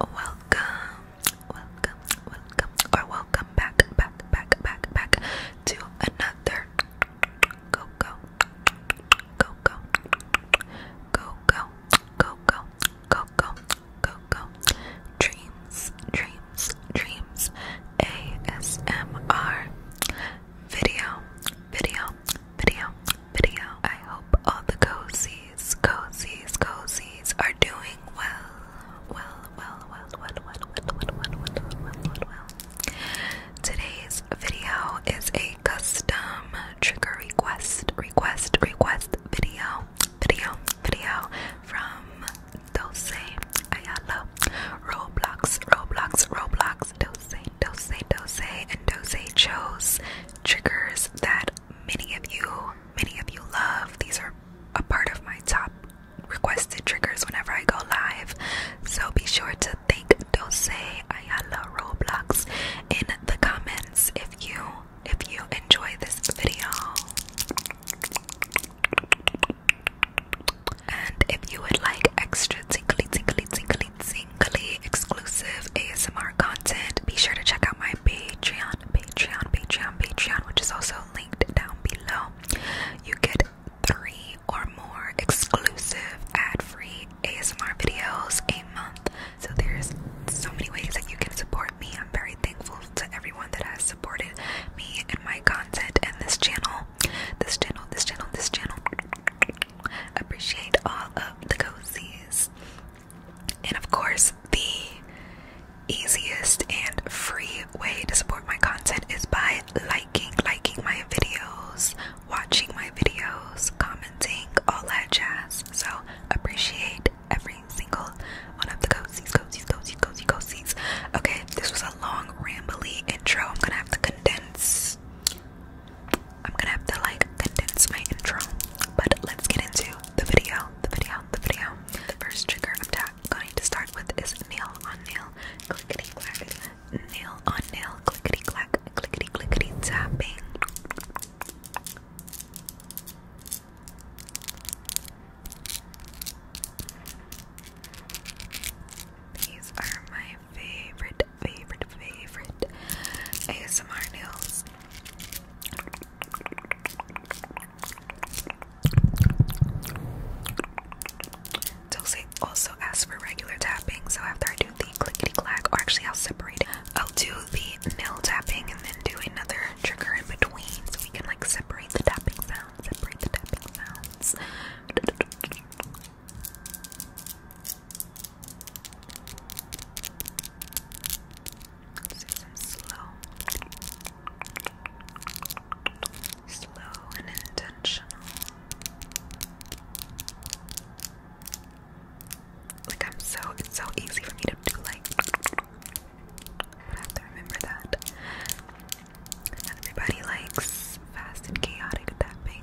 Welcome, welcome, welcome, or welcome back, back, back, back, back to another go go go go go go go go go go go go dreams, dreams, dreams ASMR video, video, video, video. I hope all the cozies, cozies, cozies are doing well. Well, well, well, well, well, well, well, well, well, well, well, Today's video is a custom trigger request, request, request video, video, video from Dulce Ayala. Roblox, Roblox, Roblox, Dose, Dose, Dose, and Dose chose triggers that many of you, many of you love. These are a part of my top requested triggers whenever I go live. So be sure to thank Dose Ayala Roblox in the comments if you if you enjoy this video. And if you would like extra tingly tingly tingly weekly exclusive ASMR content. Be sure to check out my Patreon, Patreon, Patreon, Patreon, which is also linked down below. You get three or more exclusive ad-free ASMR videos a month. So there's so many ways that you can support me. I'm very thankful to everyone that has supported me and my content and this channel. This channel, this channel, this channel. Appreciate all of the cozies. And of course, the easiest and free way to support my content is by liking, liking my videos, watching my videos, commenting, all that jazz. So appreciate every single one of the cozies, cozies, cozies, cozies, cozies. Okay, this was a long, rambly intro. I'm gonna have to condense I'm gonna have to like condense my intro, but let's get into the video, the video, the video. The first trigger attack. going to start with is nail on nail, clickety clack, nail on nail, clickety clack, clickety clickety tapping. These are my favorite, favorite, favorite ASMR nails. Dulce also asks for regular tapping, so after I do the clickety clack, or actually I'll separate I'll do the nail tapping and then do another trigger in between so we can like separate the tapping sounds, separate the tapping sounds let slow, slow and intentional. Like I'm so it's so easy for me to do like I have to remember that. Everybody likes fast and chaotic tapping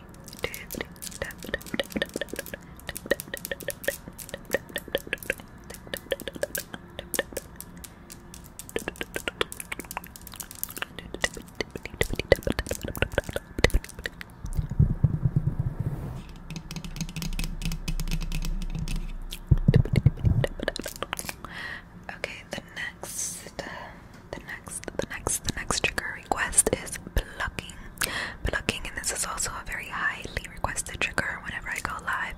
tappity, tappity, Okay, the next the next, the next, the next trigger request is plucking. Plucking, and this is also a very highly requested trigger whenever I go live.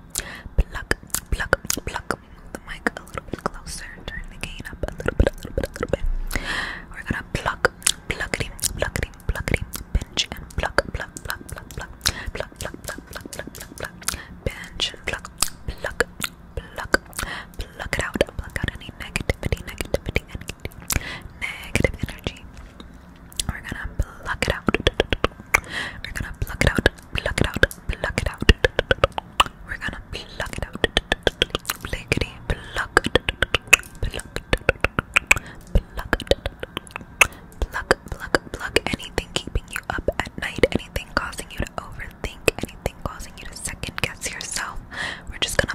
Pluck, pluck, pluck. Move the mic a little bit closer, turn the gain up a little bit, a little bit, a little bit. We're gonna pluck, pluckity, pluckity, pluckity, pinch and pluck, pluck, pluck, pluck, pluck, pluck, pluck, pluck, pluck, pinch pluck, pluck, pluck, pluck it out, pluck out any negativity, negativity, negative energy. We're gonna pluck it out. We're gonna pluck it out, pluck it out, pluck it out. We're gonna pluck it out. Blickety pluck. Pluck. Pluck. Pluck, pluck, pluck. Anything keeping you up at night, anything causing you to overthink, anything causing you to second guess yourself. We're just gonna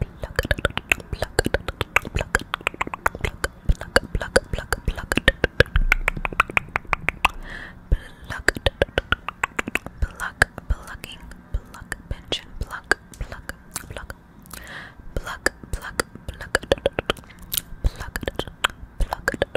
pluck, pluck, pluck, pluck, pluck, pluck, pluck, pluck, pluck, pluck, plucking, pluck, pension, pluck, pluck, pluck, pluck, pluck, pluck, pluck, pluck, pluck, pluck, pluck, pluck, pluck.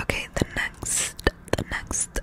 Okay, the next, the next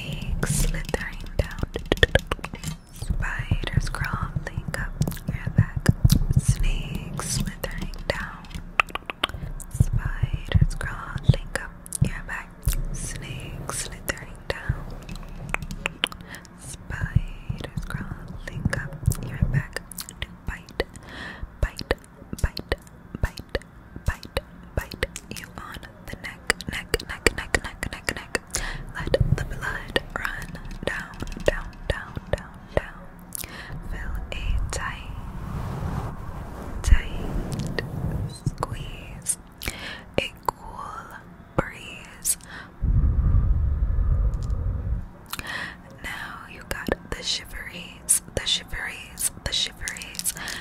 legs slithering down. Spiders crawling up your back. Snakes slithering down. Spiders crawling up your back. Snakes slithering down. Spiders crawling up your back bite, bite, bite, bite, bite, bite, bite you on the neck, neck, neck, neck, neck, neck, neck. Let the blood run down, down, down, down, down. Fill a tight, tight squeeze. A cool breeze. Now you got the shiveries, the shiveries, the shiveries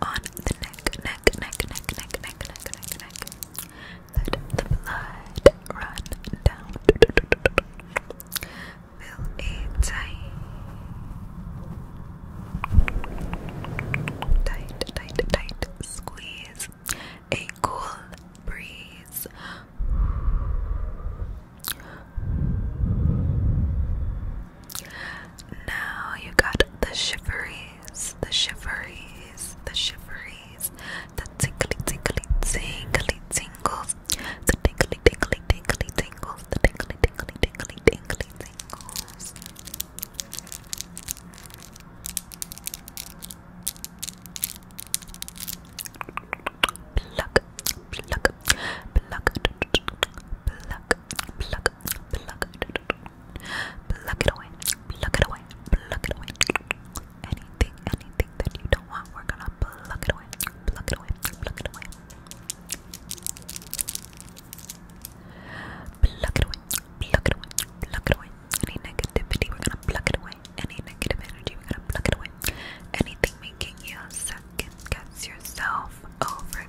on the neck, neck, neck, neck, neck, neck, neck, neck, neck. Let the blood run down. Feel it Tight, tight, tight. Squeeze. A cool breeze. Now you got the shiveries, the shiveries, the shiveries, the tickly tickly tingly tingles, the tickly tickly tickly tingles, the tickly tickly tickly tingly tingles. Pluck, pluck, pluck, pluck, pluck, pluck, pluck it away, pluck it away, pluck it away. Anything, anything that you don't want, we're gonna pluck it away, pluck it away, pluck it away. Pluck it away, pluck it away, pluck it away. Any negativity, we're gonna pluck it away. Any negative energy, we're gonna pluck it away. Anything making you second guess yourself over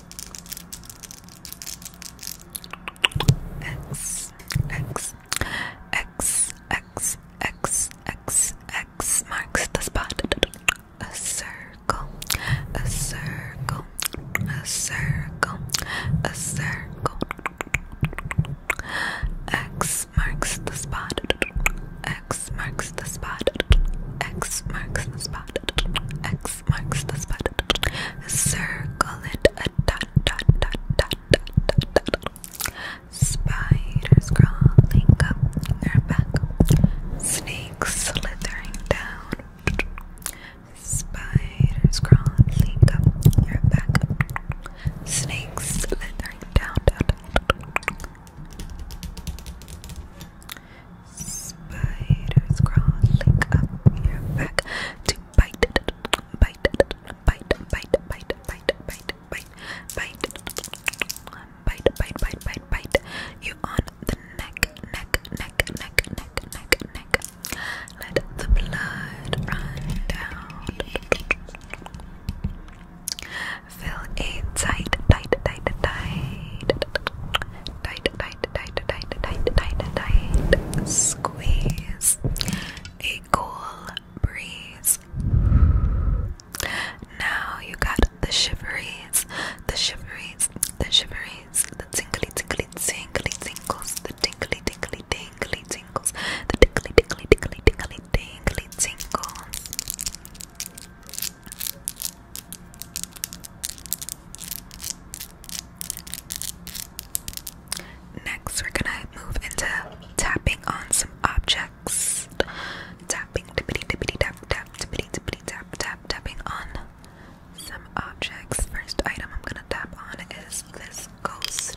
X, X, X, X, X, X, X marks the spot. A circle, a circle, a circle, a circle. X marks the spot. X marks the spot. X marks the spot. X marks the spot. Circle it Spiders crawling up their back. Snakes slithering down. Spiders crawling up your back. Snakes slithering down. Spiders crawling up your back to bite, bite, bite, bite, bite, bite, bite, bite, bite, bite, bite, bite, bite, bite. You on the neck, neck, neck, neck, neck, neck, neck. Let the blood run down. Fill a tight, tight, tight, tight tight, tight, tight, tight, tight, tight, tight. Squeeze. A cool breeze. Now you got the shiveries, the shiveries, the shiveries, the tingly, tingly, tingly tingles, the tingly, tingly, tingly tingles, the tingly, tingly, tingly, tingly, tingly tingles. Next, we're gonna move into tapping on some objects. Tapping, tippity, tippity, tap, tap, tippity, tippity, tap, tap, tapping on some objects. First item I'm gonna tap on is this ghost.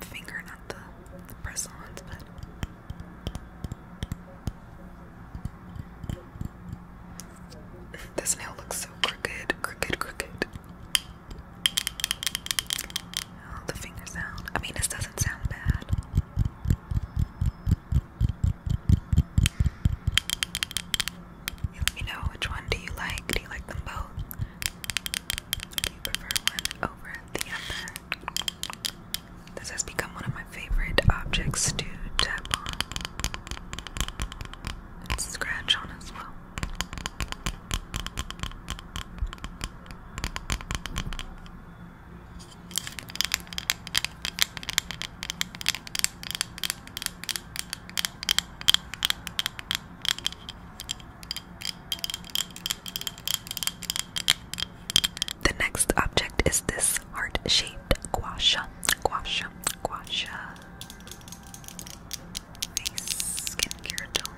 finger, not the, press-ons, but this nail looks so crooked, crooked, crooked. Oh, the finger sound. I mean, this doesn't sound bad and know which one do you like. Do you like them both? Do you prefer one over the other? This has become one of my favorite objects to tap on and scratch on as well. The next object is this heart-shaped guasha, guasha, guasha face skincare tool.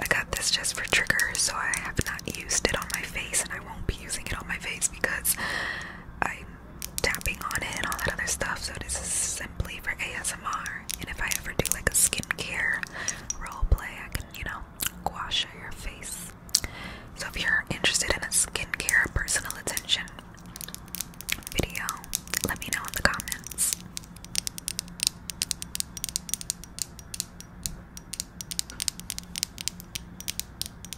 I got this just for triggers, so I have not used it on my face, and I won't be using it on my face because I'm tapping on it and all that other stuff. So this is simply for ASMR. And if I ever do like a skincare role play, I can, you know, gouache your face. So if you're interested in a skincare personal attention video, let me know in the comments.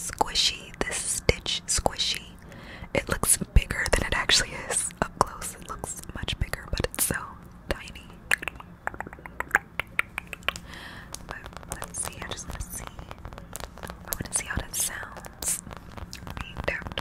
Squishy, this stitch squishy. It looks bigger than it actually is up close it looks much bigger, but it's so tiny. But let's see, I just want to see. I want to see how that sounds being tapped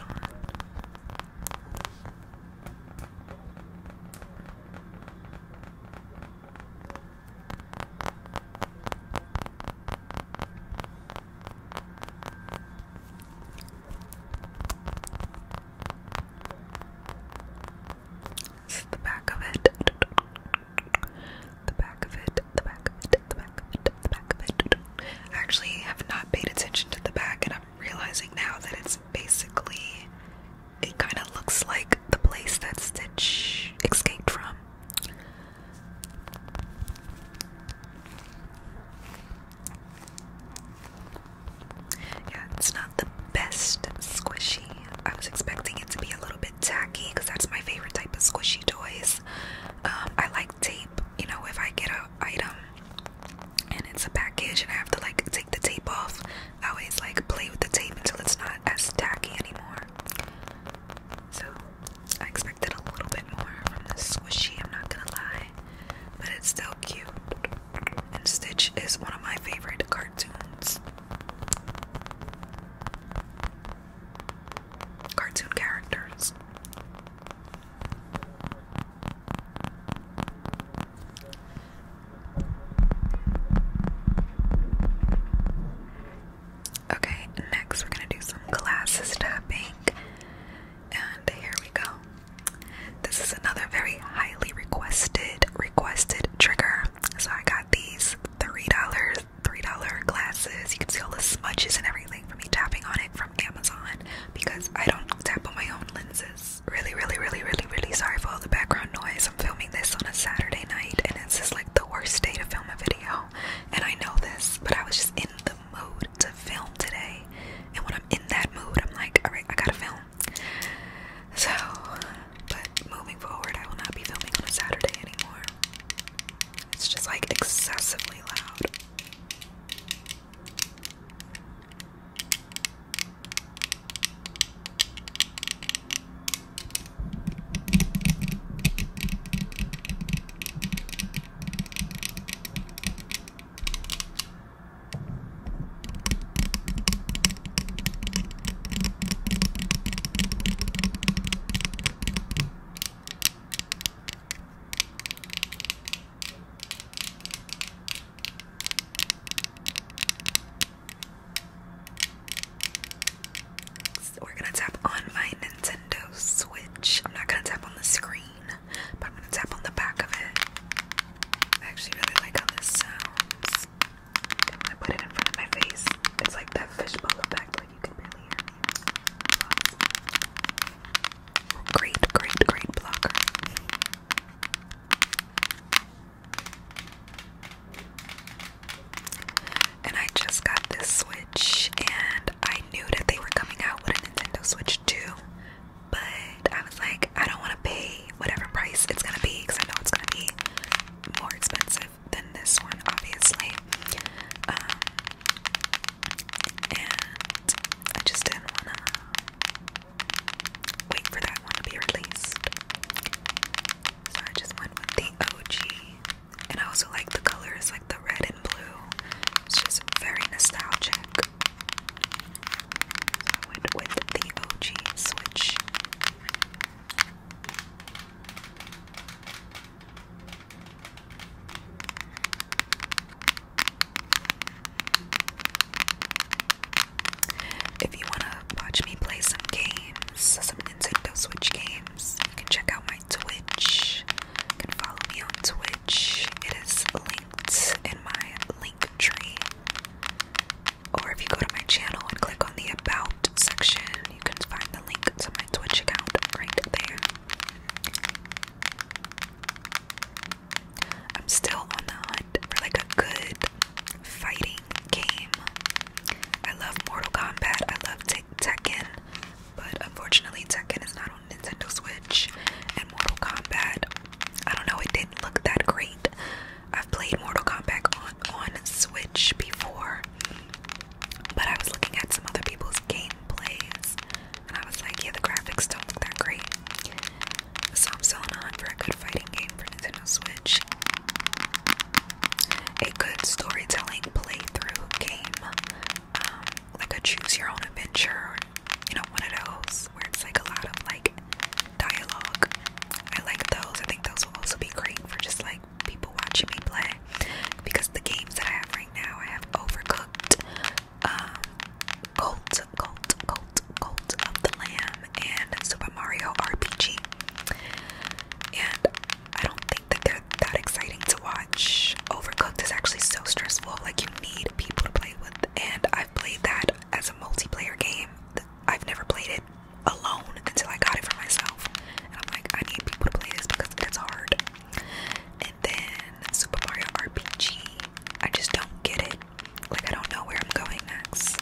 this is the back of it. The back of it, the back of it, the back of it, the back of it. I actually have not paid attention to the back, and I'm realizing now that it's basically. It kind of looks like the place that Stitch escaped from. Yeah, it's not the best squishy. I was expecting it to be a little bit tacky because that's my favorite type of squishy toys. Um, I like tape, you know, if I get an item and it's a package and I have to like take the tape off, I always like play with the tape until it's not as tacky anymore. So I expected a little bit more from the squishy, I'm not gonna lie but it's still cute. And Stitch is one of my favorite cartoons. Cartoon characters. Okay, next we're gonna do some glasses tapping. And here we go. This is another very highly requested requested trigger. So I got these three dollars, three dollar glasses. You can see all the smudges and everything from me tapping on it from Amazon because I don't tap on my own lenses. Really, really, really, really, really sorry for all the background noise. I'm filming this on a Saturday night and it's just like the worst day to film a video. And I know this, but I was just in the mood to film today. And when I'm in that mood, I'm like, all right, I gotta film. So, but moving forward, I will not be filming on a Saturday anymore. It's just like excessively loud we're gonna tap on my Nintendo Switch. I'm not gonna tap on the screen but I'm gonna tap on the back of it. I actually really like how this sounds. And when I put it in front of my face, it's like that fishbowl effect, like you can barely hear me. great, great, great blocker. And I just got this Switch, and I knew that they were coming out with a Nintendo Switch 2 but I was like, I don't want to pay whatever price it's gonna be because I know it's gonna be more expensive than this one, obviously. Um, and I just didn't wanna wait for that one to be released, so I just went with the OG. And I also like the colors, like the red and blue. It's just very nostalgic. So I went with the OG Switch. If you want to watch me play some games, some Nintendo Switch games, you can check out my Twitch. You can follow me on Twitch it is linked in my link tree. Or if you go to my channel and click on the About section, you can find the link to my Twitch account right there. I'm still on the hunt for like a good fighting game. I love Mortal Kombat, I love Tekken, but unfortunately, Tekken is not on Nintendo Switch and Mortal Kombat. I don't know, it didn't look that great. I've played Mortal Kombat on, on Switch before, but I was looking at some other people's gameplays and I was like, yeah, the graphics don't look that great. So I'm selling on for a good fighting game for Nintendo Switch. A good storytelling playthrough game, um, like a choose your own adventure or you know, one of those where it's like a lot of like dialogue. I like those. I think those will also be great for just like people watching me play because the games that I have right now, I have Overcooked, um, Cult, Cult, Cult, of the Lamb, and Super Mario RPG. And I don't think that they're that exciting to watch. Overcooked is actually so stressful. Like you need need people to play with, and I've played that as a multiplayer game. I've never played it alone until I got it for myself, and I'm like, I need people to play this because it's hard. And then Super Mario RPG, I just don't get it. Like I don't know where I'm going next.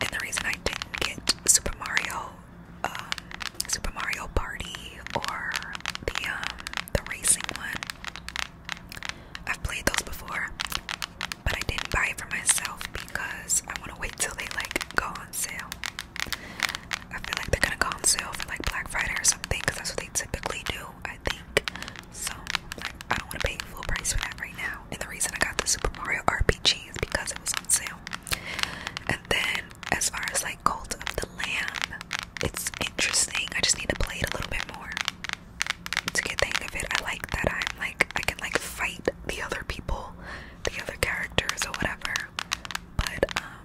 And the reason I didn't get Super Mario, um, Super Mario Party, or the um, the racing one I've played those before, but I didn't buy it for myself because I want to wait till they like go on sale. I feel like they're gonna go on sale for like Black Friday or something because that's what they typically do, I think. So like, I don't want to pay full price for that right now. And the reason I got the Super Mario RPG is because it was on sale. And then as far as like Cult of the Lamb, it's interesting. I just need to play it a little bit more to get the hang of it. I like that I'm like I can like fight the other people, the other characters or whatever. But um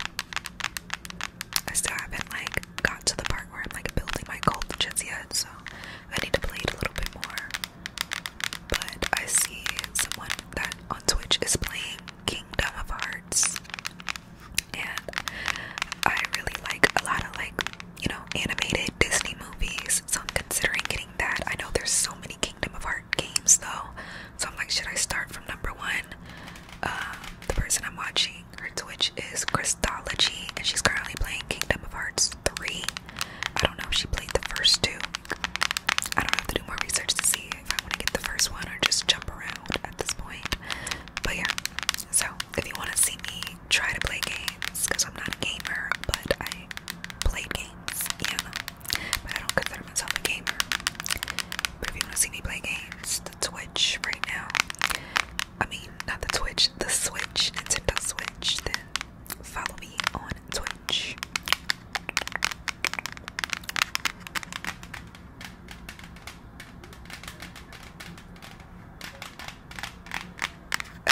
I still haven't like got to the part where I'm like building my cult just yet, so I need to play it a little bit more. But I see someone that on Twitch is playing Kingdom of Hearts and I really like a lot of like you know animated Disney movies, so I'm considering getting that. I know there's so many Kingdom of Heart games though, so I'm like, should I start from number one? Um, the person I'm watching her Twitch is Christology, and she's currently playing Kingdom of Hearts three. I don't know if she played the first two. I don't have to do more research to see if I want to get the first one or just jump around at this point. But yeah, so, if you want to see me try to play games, because I'm not a gamer, but I play games, yeah, but I don't consider myself a gamer. But if you want to see me play games, the Twitch right now, I mean, not the Twitch, the Switch, Nintendo Switch, then follow me on Twitch.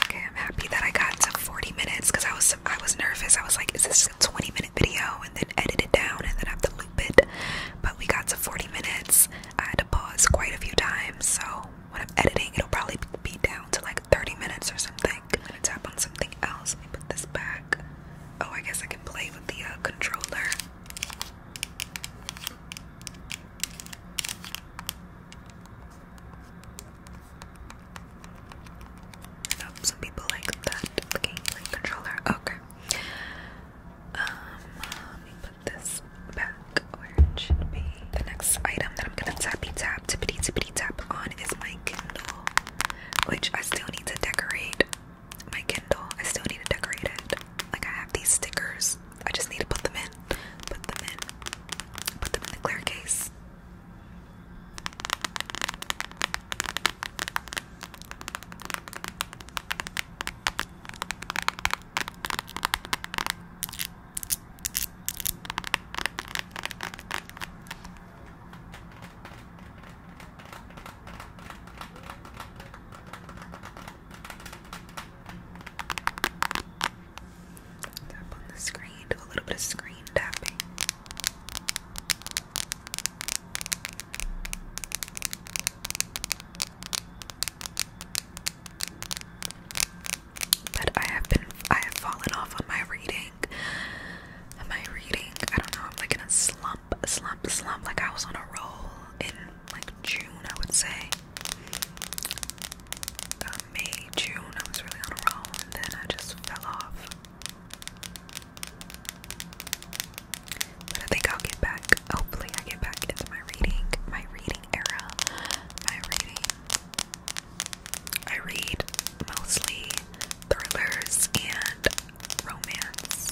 Okay, I'm happy that I got to 40 minutes because I was I was nervous. I was like, is this a 20 minute video and then edit it down and then have to loop it? But we got to 40 minutes. I had to pause quite a few times, so when I'm editing, it'll probably be down to like 30 minutes or something. I'm gonna tap on something else. Let me put this back. Oh, I guess I can play with the uh, controller. No, some people like that looking like controller. Okay. Um, let me put this back where it should be. The next item that I'm gonna tappy tap tippity tippity tap on is my Kindle, which I still need to decorate my Kindle. I still need to decorate it. Like I have these stickers. I just need to put them in. Put them in. Put them in the clear case. Tap on the screen, do a little bit of screen tapping. But I have been, I have fallen off on my reading. Am reading? I don't know. I'm like in a slump, slump, slump. Like I was on a roll like June, I would say. Uh, May, June, I was really on a roll, and then I just fell off. But I think I'll get back. Hopefully, I get back into my reading, my reading era, my reading. I read mostly thrillers and romance.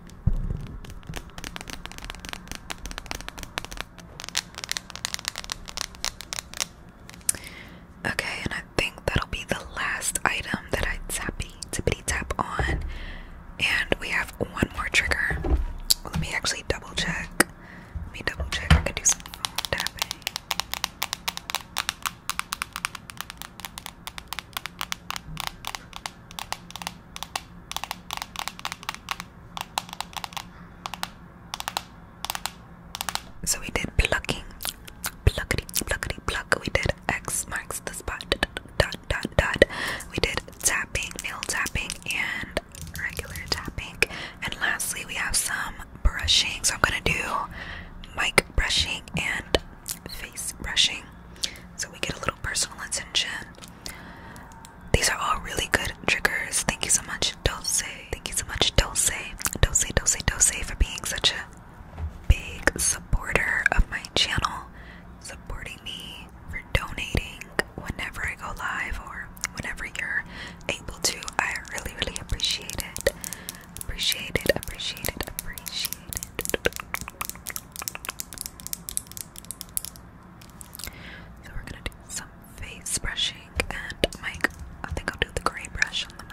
Okay, and I think that'll be the last item that I tappity tippity tap on. And we have one more trigger. Let me actually double check. Let me double check. I can do some phone tapping. So we did plucking, pluckity, pluckity, pluck. We did X marks the spot, dot, dot, dot. We did tapping, nail tapping, and regular tapping. And lastly, we have some brushing. So I'm gonna do mic brushing and face brushing so we get a little personal attention. These are all really good triggers. Thank you so much, Dulce. Thank you so much, Dulce. Dulce, Dulce, Dulce, for being such a big supporter of my channel, supporting me, for donating whenever I go live or whenever you're able to. I really, really appreciate it. Appreciate it, appreciate it, appreciate it. So we're gonna do some face brushing and mic. I think I'll do the gray brush on the mic.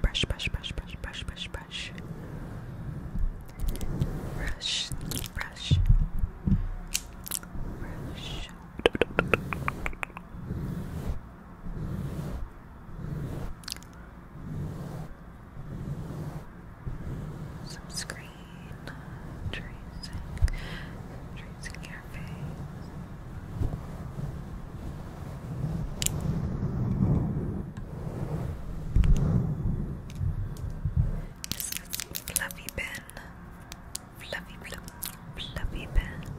brush, brush, brush, brush, brush, brush, brush. Brush, brush. Brush. Some screen tracing, tracing your face. This is Fluffy Pen. Fluffy, fluffy, fluffy pen.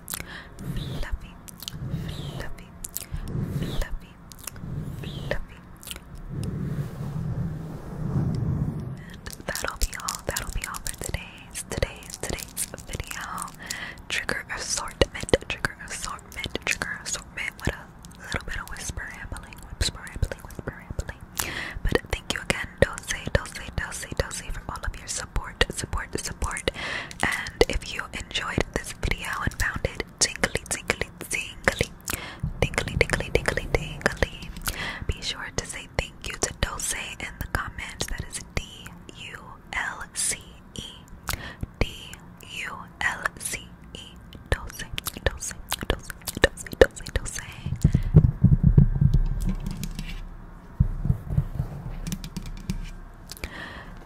fluffy, fluffy, fluffy, fluffy. And that'll be all. That'll be all for today's today's today's video. Trigger assortment, trigger assortment, trigger assortment. What else? A little bit of whisper rambling, whisper rambling, whisper rambling. But thank you again, Dulce, Dulce, Dulce, Dulce, for all of your support, support, support. And if you enjoyed this video and found it tingly, tingly, tingly, tingly, tingly, tingly, tingly. Be sure to say thank you to Dulce in the comments. That is D U L C E. D U L C E. Dulce, Dulce, Dulce, Dulce, Dulce, Dulce.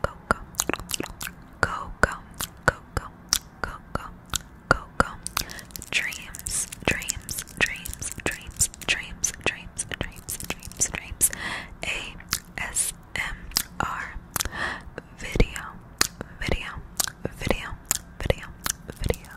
coco, coco, coco, coco, coco. Dreams, dreams, dreams, dreams, dreams, dreams, dreams, dreams, dreams. A S M R video, video, video, video, video.